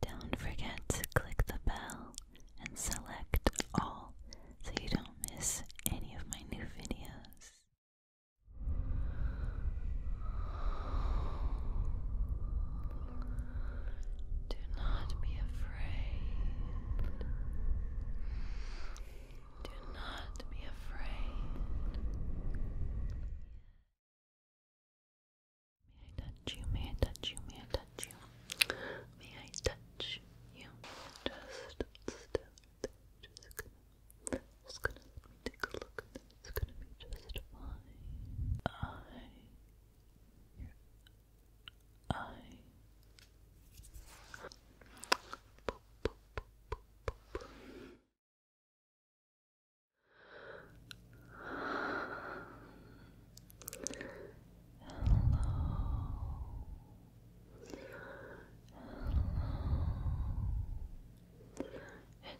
Don't forget to click the bell and select all so you don't miss any of my new videos. Do not be afraid. Do not be afraid. May I touch you? May I touch you? May I touch you? May I touch you? Just to take a look It's gonna be just fine. I, your Boop, boop, boop, boop, boop. Hello.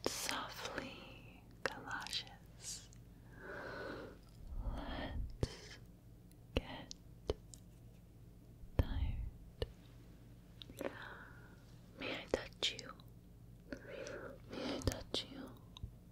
It's softly galoshes. Let's get tired. May I touch you? May I touch you?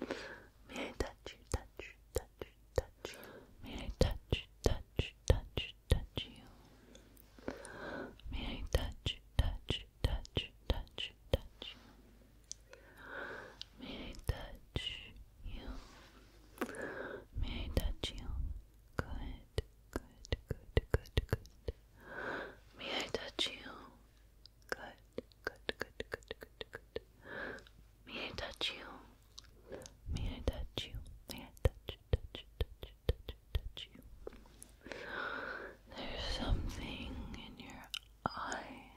May I touch you, touch you, touch you, touch you? May I touch, touch, touch, touch you? May I touch, touch, touch, touch, touch you? May I touch you? May I touch you? Good, good, good, good, good. May I touch you? Good, good, good, good, good, good. May I touch you? May I touch you? May I touch, touch, touch, touch, touch you? There's something in your eye.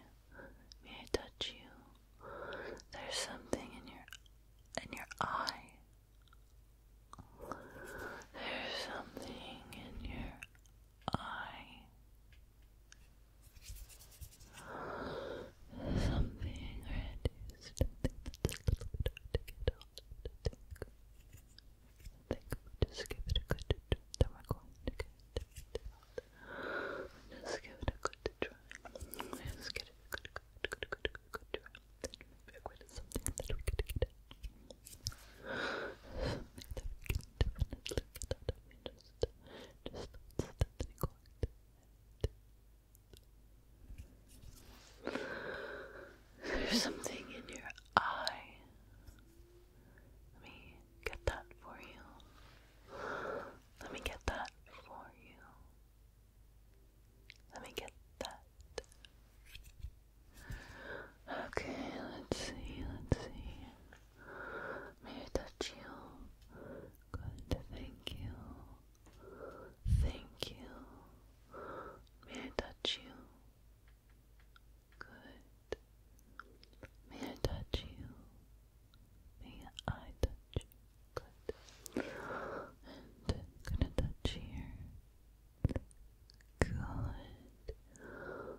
May I touch you? There's something in your in your eye. There's something in your eye. Something red is something that's a little bit hard to get out of the think. I think we'll just give it a good try. Then we're going to get it out. Just give it a good try. Let's get it a good, good, good, good, good, good try. Then maybe I'll get something that we could get out. Something that we can definitely get out of. Just there's something in your eye. Let me get that for you. Let me get that for you. Let me get that. Okay, let's see, let's see. May I touch you? Good, thank you. Thank you. May I touch you? Good. May I touch you? May I touch Good. gonna touch here. Good.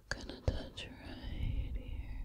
Gonna touch right here.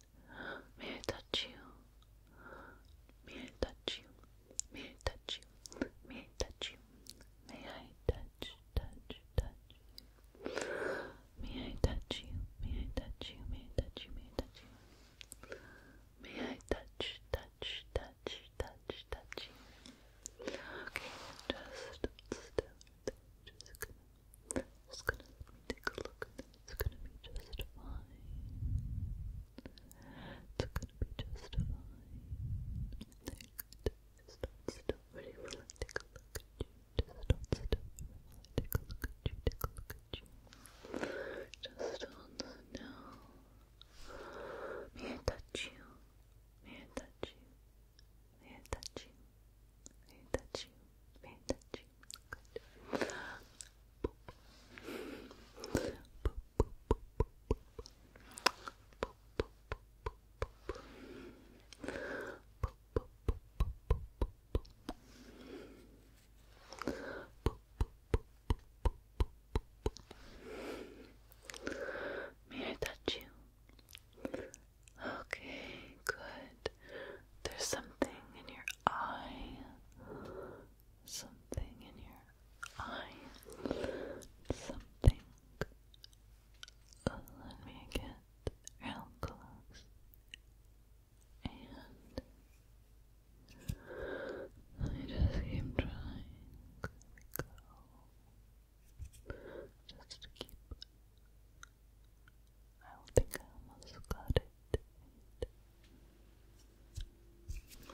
May I touch you? May I touch you? May I touch you? May I touch you? May I touch, touch, touch you? May I touch you? May I touch you? May I touch you? May I touch you? May I touch, touch, touch, touch, touch you? Okay, just still, just gonna it's gonna let me take a look and then it's gonna be just fine. It's gonna be just fine. There you go. Just hold still. Ready? Will I take a look at you? Just hold still. Will I take a look at you? Take a look at you. Just hold still. May I touch you? May I touch you? May I touch you? May I touch you? May I touch you? May I touch you? Okay, good. There's something in your eye something in your eye, something. Let me get real close and I just keep trying. There we go. Just to keep I think I almost got it.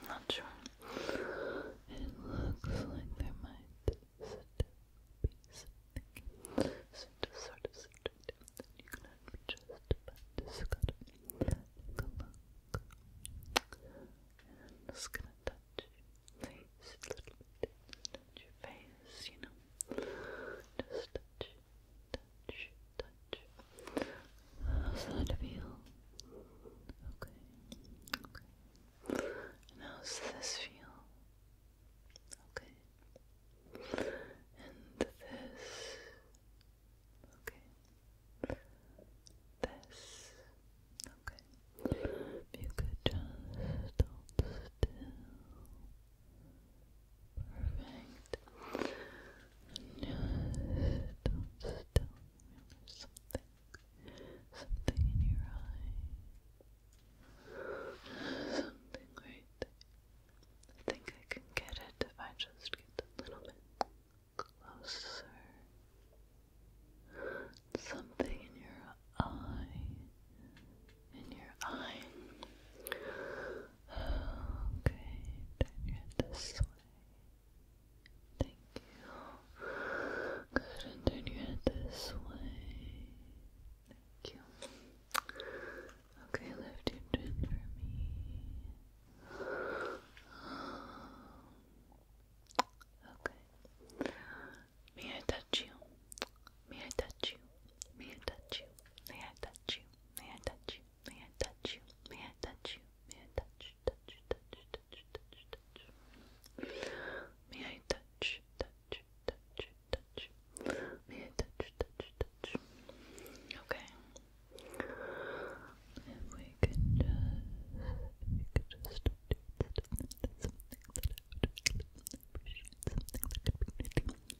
I'm not sure. It looks like there might be something. So just sort of subtract it, you can have me just about discard it. Take a look. just gonna touch your face a little bit. Touch your face, you know. Just touch, touch, touch. How's that feel? Okay. Okay. how's this feel? Okay. And this. Okay. This. Okay. you could just hold still. Perfect. And don't still. There's something, something in your eye. Something right I think I can get it if I just get a little bit closer. Something in your eye. In your eye. Okay, turn your head this way. Thank you. Good, and turn your head this way. Thank you. Okay, lift your chin for me. Okay. May I touch you? May I touch you? May I touch you? May I touch you? May I touch you? May I touch you? May I touch you? May I touch, touch, touch, touch, touch, touch? May I touch, touch, touch, touch? May I touch, touch, touch? Okay. If we can just, if we could just do something that I would really appreciate, something that could be knitting,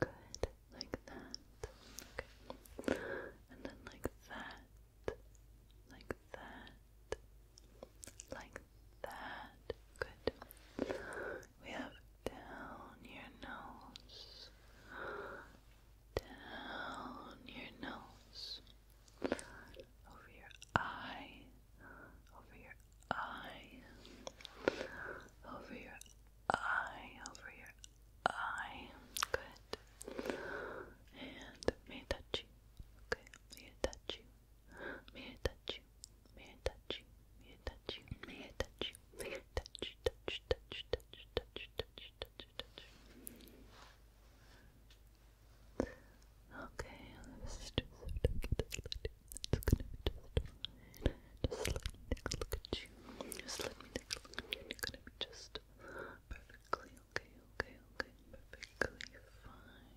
Good, like that. Okay. And then like that. Like that. Like that. Good. We have down your nose. Down your nose. Over your eye. Over your eye. Over your eye, over your eye. Good. And may I touch you? Okay. May I touch you? May I touch you? May I touch you? May I touch you? May I touch you? touch Touch, touch, touch, touch, touch, touch, touch. Okay, just let me take a look at you. Just let me take a look at you. You're gonna be just perfectly okay, okay, okay, perfectly fine.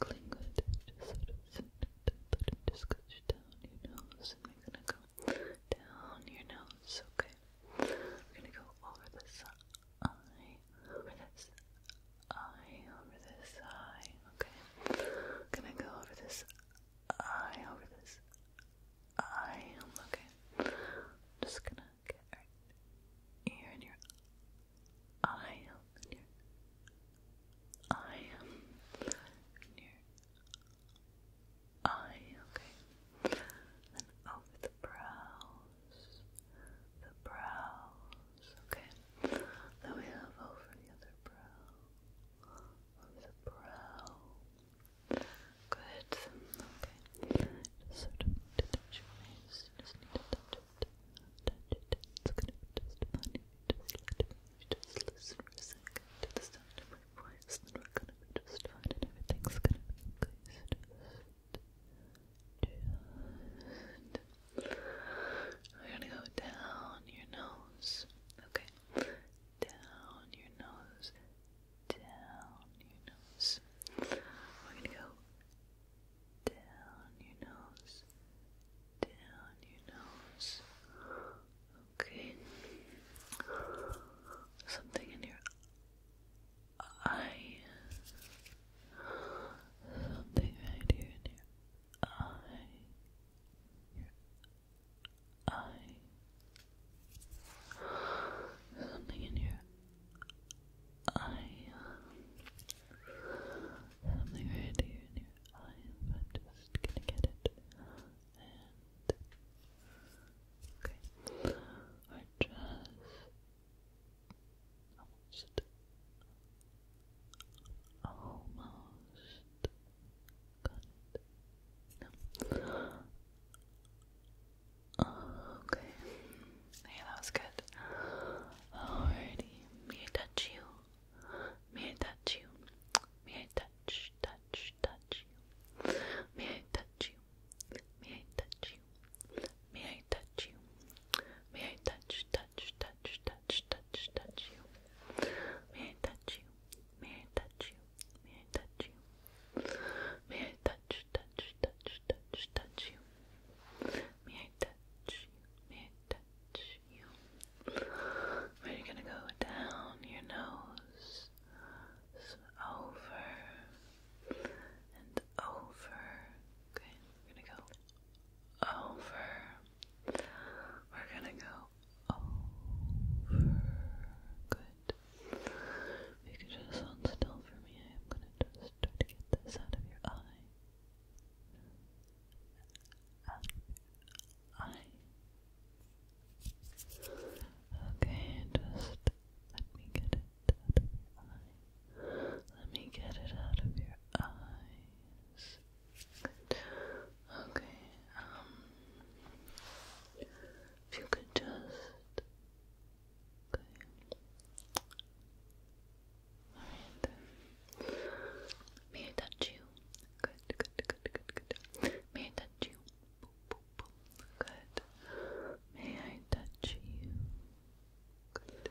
Perfectly good. Just sort it just go down your nose, and we're gonna go down your nose, okay? We're gonna go over this eye, over this eye, over this eye okay? gonna go over this eye, over this eye, okay? just gonna get right your eye, in eye, in eye, okay? And over the brows, the brows, okay? Then we have over the other brow of the brow. Good. Okay. Just sort to touch your face. You just need to just listen for a second to the sound Then we're gonna be just fine and everything's gonna be okay. We're gonna go down your nose. Okay. Down your nose. Down your nose. We're gonna go down your nose. Down your nose. Okay. Something in your eye. Something right here in your eye, your eye, something in your eye, something right here in your eye. I'm just gonna get it and okay, or just almost almost got it. Okay. Hey, that was good. Alrighty. May I touch you? May I touch you? May I touch, touch, touch you? May I touch you? May I touch you? May I touch you? May I touch, touch, touch? touch, touch, touch, touch you. May I touch you? May I touch you? May I touch you? May I touch, touch, touch, touch, touch you? May I touch you? May I touch you? We're gonna go down your nose, so over and over. Okay, we're gonna go over we're gonna go over. Good. you could just hold still for me, I'm gonna just try to get this out of your eye. Out of your eye. Okay, just let me get it out of your eye. Let me get it out of your eyes. Okay, um, if you could just, okay, may I touch you? Good, good, good, good, good, may I touch you? Good, may I touch you? Good.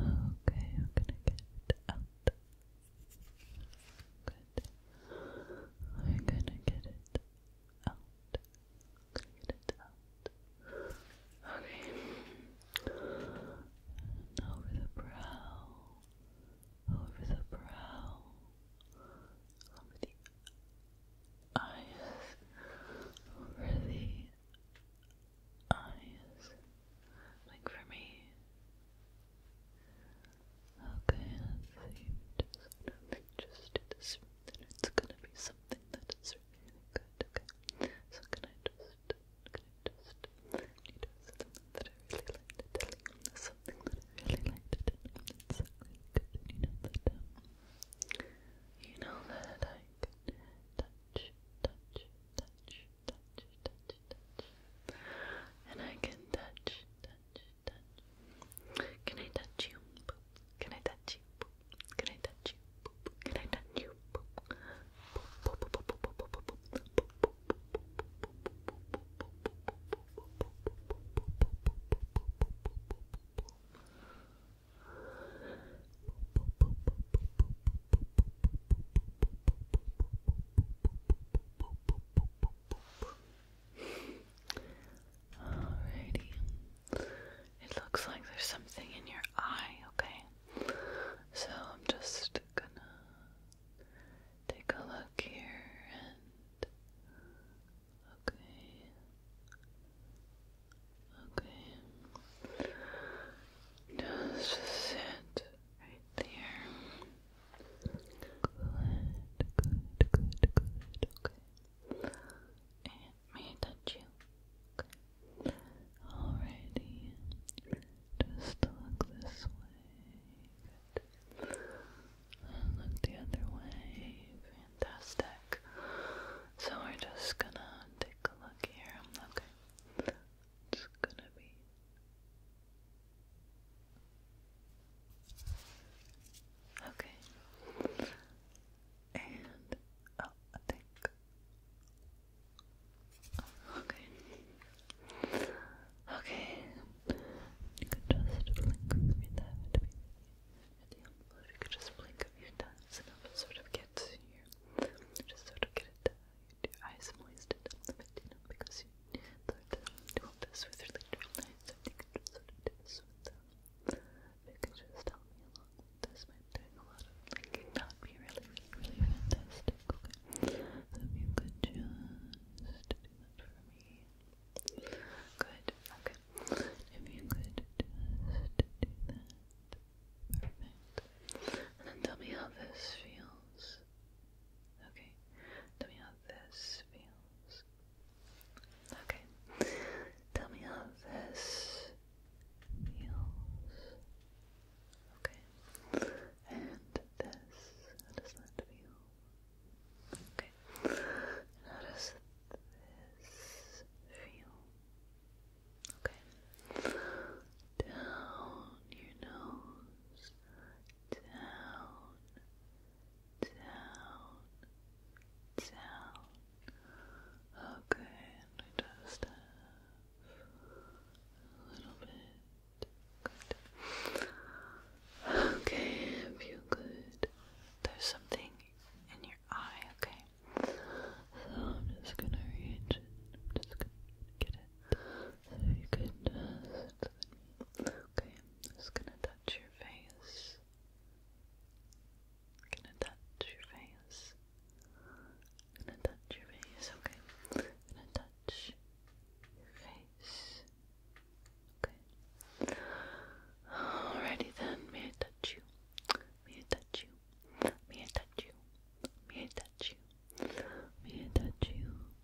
Okay, I'm gonna get out Good. We're gonna get it out. Get it out. Okay. over the brow. Over the brow. Over the eyes. Over the eyes. Like for me. Okay, let's see. Just, just it's gonna be something that is really good. So can I just, can I just, you know, something that I really like to tell Something that I really like to tell you. good. you know that, you know that I touch, touch, touch, touch, And I can touch, touch, touch. Can I touch you? Can I touch you? Can I touch you? Can I touch you Alrighty. It looks like there's something in your eye, okay? So I'm just gonna take a look here and. Okay. Okay. Just sit right there good, good, good, okay. And may I touch you? Okay. Alrighty. Just look this way. look the other way. Fantastic. So we're just gonna take a look here. Okay. It's gonna be Okay. And oh, I think. Okay. Okay. You can just blink a few times. At the envelope, you could just blink a few times, and it'll sort of get to you. Just sort of get it down your eyes moist and up the patina because you learned to do this with your later life, sort of do this with You can just help me along with this by doing a lot of like, that be really, really, fantastic, okay? if you could just do that for me. Good, okay. If you could do that. Perfect. And tell me how this feels this. Okay, tell me how this feels. Okay, tell me how this feels. Okay, and this. How does that feel? Okay, how does this feel? Okay, down your nose down, down, down. Okay, and just have a little bit. Okay, feel good. There's something in your eye, okay? So I'm just gonna reach it. I'm just gonna get it. So you could Okay, just gonna touch your face. gonna touch your face. gonna touch your face, okay. gonna touch your face. Okay. Alrighty then, may I touch you? May I touch you? May I touch you? May I touch you? May I touch you?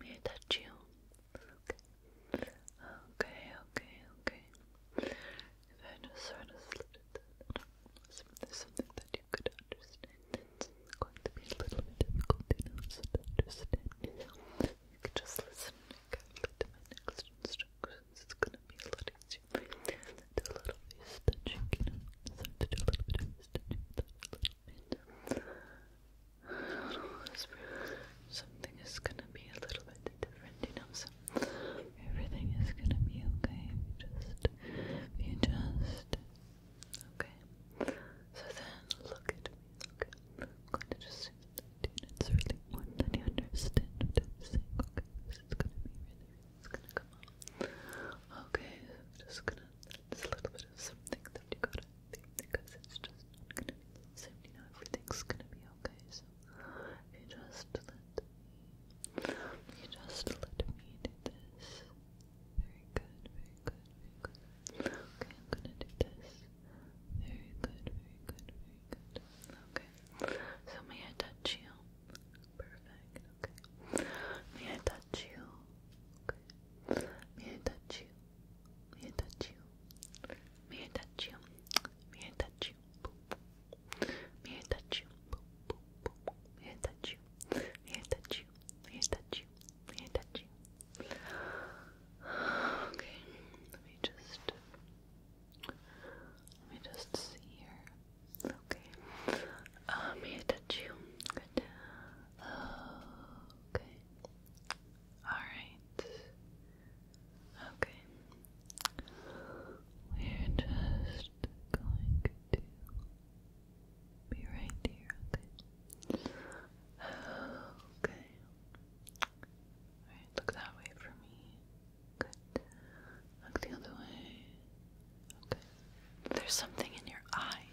May I touch you? Okay. Okay, okay, If I just sort of slid there's something that you could understand. It's going to be a little bit difficult, you could just listen carefully to next instructions. It's going to be a lot easier. Do a little face touching, you Start to do a little bit of face something is gonna be a little bit different, you know, so everything is gonna be okay you just, you just, okay? So then, look at me, look I'm going to just do that it's really important that you understand what okay? This gonna be really, it's gonna come Okay, just gonna there's a little bit of something that you gotta think because it's just not gonna be the same. You know, everything's gonna be okay. So you just let me, you just let me do this. Very good, very good, very good. Okay, I'm gonna do this. Very good, very good, very good. Okay. So may I touch you? Perfect, okay. May I touch you? Okay. May I touch you? May I touch you? May I touch you? May I touch you? May I touch you? May I touch you? May I touch you? May I touch you? May I touch you? Okay, let me just let me just see here. Okay. Uh, may I touch you. Good. Okay. Alright. Okay. We're just going to be right here, okay? Okay. Alright, look that way for me. Good. Look the other way. Okay. There's something in your eye.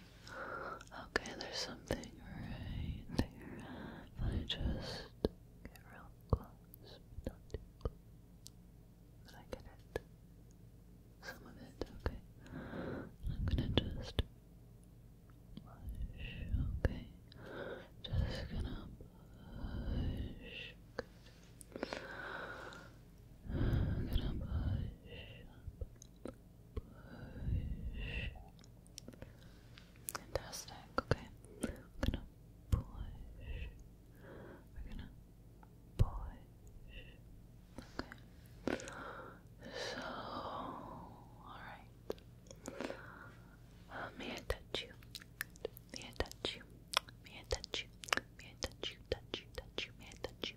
Okay, there's something right there. Let me just get real close, but I get Some of it, okay. I'm gonna just push, okay. Just gonna push. gonna push Push. Fantastic. Okay. We're gonna push. We're gonna push. Okay. So, alright. may I touch you? May I touch you? May I touch you? May I touch you? Touch you? Touch you? May I touch you?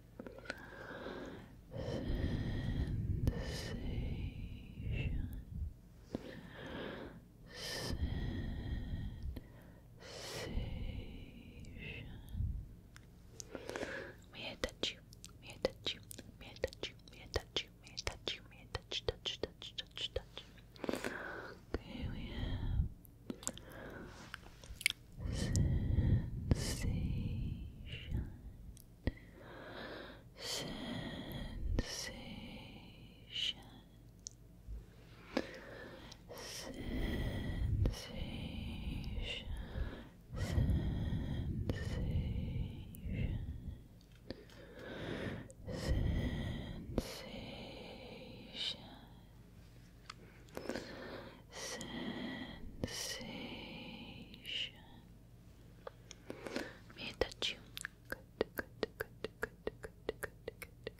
sensation sensation may I touch you may I touch you may I touch you may I touch you may I touch you touch touch touch touch touch okay we sensation, sensation, sensation, sensation. Sensation, sensation. May touch you? Good, good, good, good, good, good, good, good, good. Good,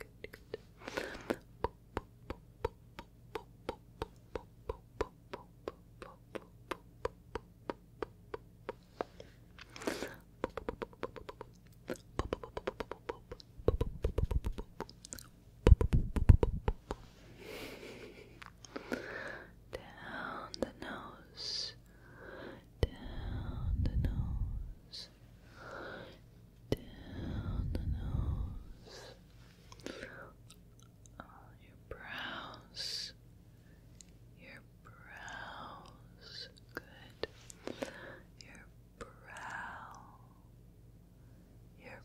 down the nose, down the nose, down the nose, your brows, your brows, good, your brow, your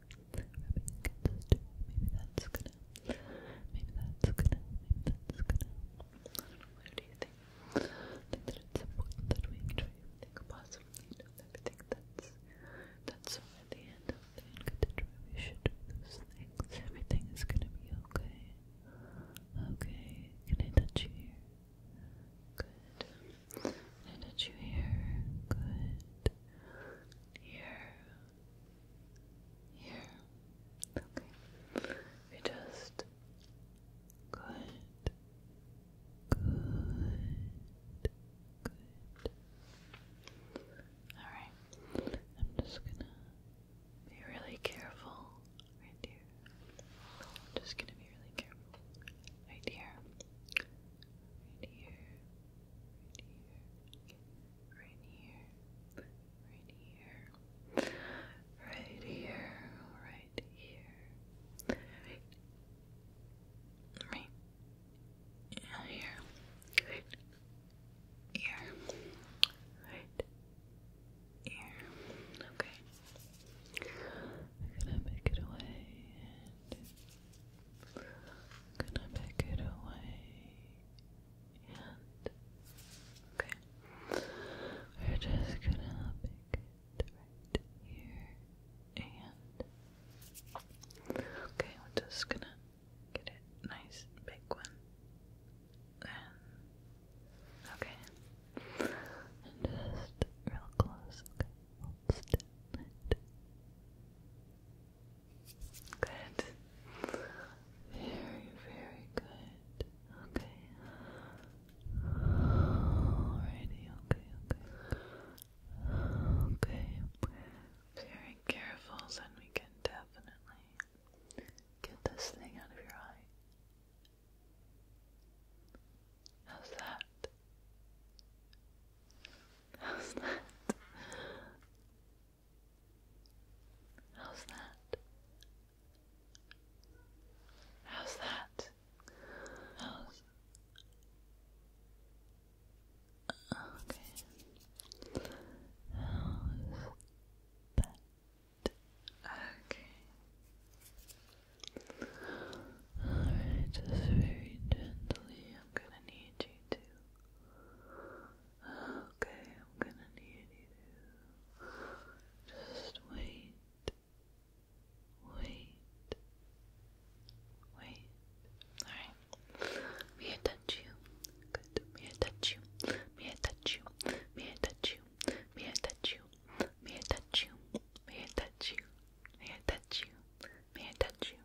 against the door. Maybe that's gonna, maybe that's gonna, maybe that's gonna. what do you think? think that it's important that we try and think positively of everything that's, that's at the end of the end. Good we should Everything is gonna be okay. Okay, can I touch you Good. I touch you here. Good. Here. Here. Okay. We just good. Good. Good. Alright. I'm just gonna be really careful right here. just gonna be really careful right here right here, right here, right here, right here, right here, right here, right here, right here, right here. Okay. I'm gonna make it away gonna pick it away and okay we're just gonna pick it right here and okay we're just gonna get it nice big one and okay just real close Good. Very, very good. Okay. Alrighty, okay, okay. Okay. Very careful so we can definitely get this thing out of your eye. How's that? How's that? How's that? How's that? How's Okay. How's that? Okay. just very gently I'm gonna need you to. Okay, I'm gonna need you to. Just wait. Wait. Wait. Alright. May I touch you? Good. May I touch you? May I touch you? May I touch you? May I touch you? May I touch you? May I touch you? May I touch you? May I touch you?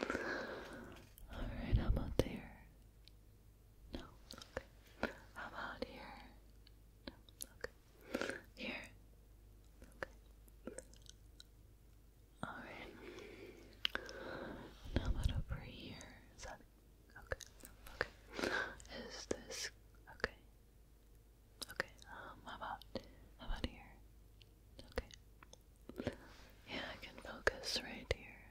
Alright, how about there? No, okay. How about here? No, okay. Here? Okay. Alright. Now about over here? Is that okay? Okay. Is this okay? Okay. Um, how about how about here? Okay. Yeah, I can focus right here.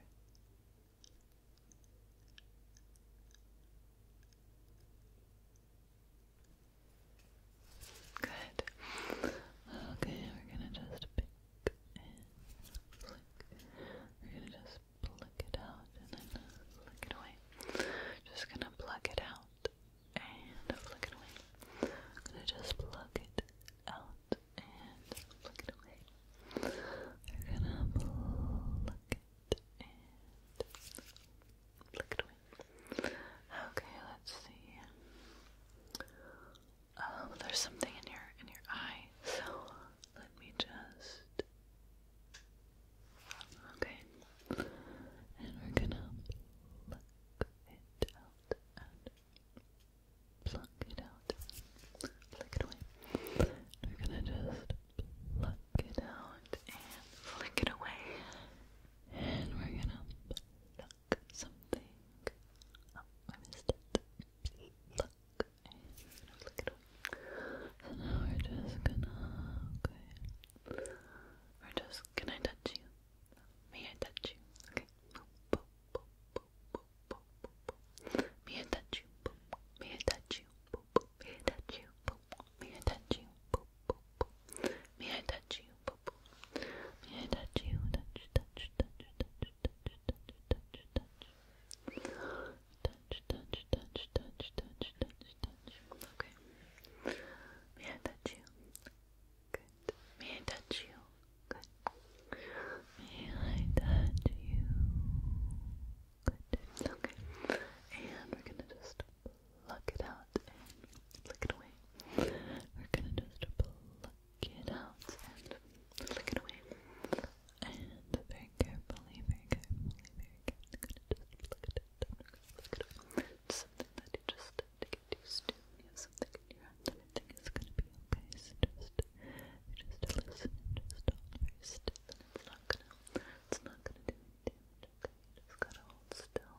Good. Okay, we're gonna just pick and flick. We're gonna just pluck it out and then flick it away. Just gonna pluck it out and flick it away. gonna just pluck it out and pluck it away. We're gonna pluck it and pluck it away. Okay, let's see. Oh, there's something in your in your eye, so let me just. Okay, and we're gonna pluck it out pluck it out, flick it away. We're gonna just pluck it out and flick it away. And we're gonna pluck something. Oh, I missed it. Pluck and flick it away. we're just gonna okay. We're just can I touch you? May I touch you? Okay boop, boop, boop. May I touch you? Boop. May I touch you? Boop, boop. May I touch you? Boop. May I touch you? Boop, boop, boop. May I touch you? Boop, boop. May I touch you? Touch, touch, touch, touch, touch, touch, touch, touch. Touch, touch, touch, touch, touch, touch, touch. Okay. May I touch you? Good. May I touch you? Good. you? Good. Okay. And we're gonna just pluck it out and flick it away. We're gonna just pluck it out and flick it away. And very carefully, very carefully, very carefully, I'm gonna just pluck it out. it something that you just have to get used something your Everything is gonna be okay. So just, just listen just hold very still, and it's not gonna, it's not gonna do any Okay, just gotta hold still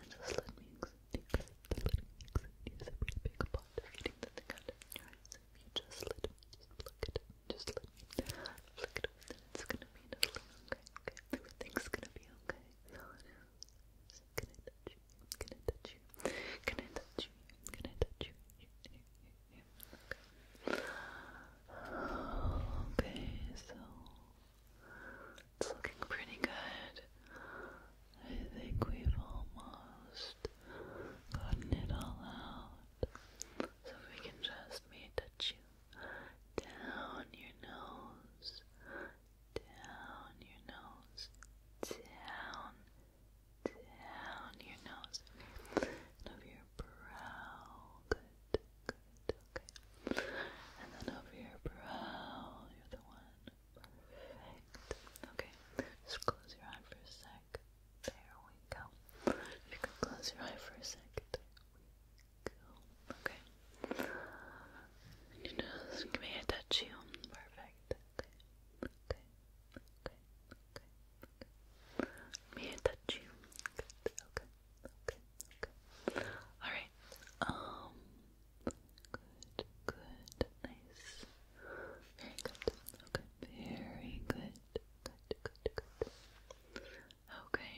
and just let me accept you. Let me accept you. It's a pretty big pot feeding that they got in your eyes. So if you just let me just pluck it, just let me pluck it up, then it's gonna be enough. Okay, okay. Everything's gonna be okay. So, so can I touch you? Can I touch you? Can I touch you? Can I touch you? Yeah, yeah, yeah. Okay. so it's looking pretty good. I think we've almost gotten it all out. So we can just me touch you down your nose, down your nose, down down your nose, over your brow, good, good, okay, and then over your brow, you're the one, perfect, okay, just close your eye for a sec, there we go, you can close your eye for a sec, okay, and your can I touch you, perfect, okay, okay, Okay, okay, okay. I touch you? Good. Okay, okay, okay. Alright. Um good, good, nice. Very good. Okay. Very good. Good, good, good. Okay.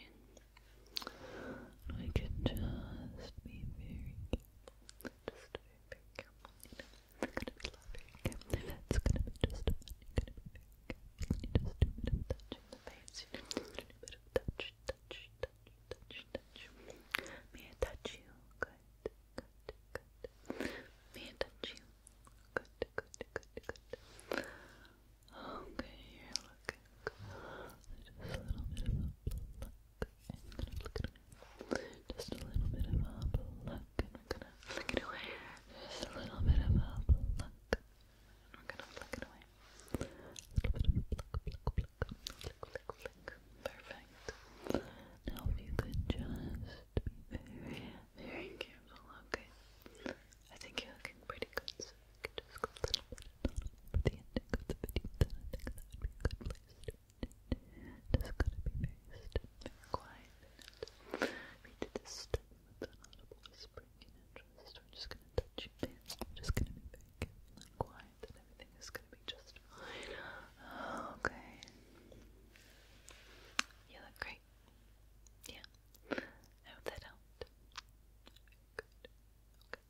We could just be very careful. Just very, careful we It's gonna be just fun. you bit of touching the face. You just bit of touch, touch, touch, touch, touch. May I touch you? Good, good, good. May I touch you? Good, good, good, good. Okay, you're Just a little bit of a look Just a little bit of a and we're gonna flick it away. Just a little bit of a pluck. And we're gonna flick it away. A little bit of a pluck, pluck, pluck, flick, flick, flick. Perfect. Now you could just be very, very careful, okay? I think you're looking pretty good, so we could just go a little bit for the ending of the video, I think that would be a good place just gotta be very still, very quiet in it. Read it with an audible whispering interest. We're just gonna touch your pants. we just gonna be very quiet and everything is gonna be just fine. Okay. You look great. Yeah. I that helped. Good. Okay.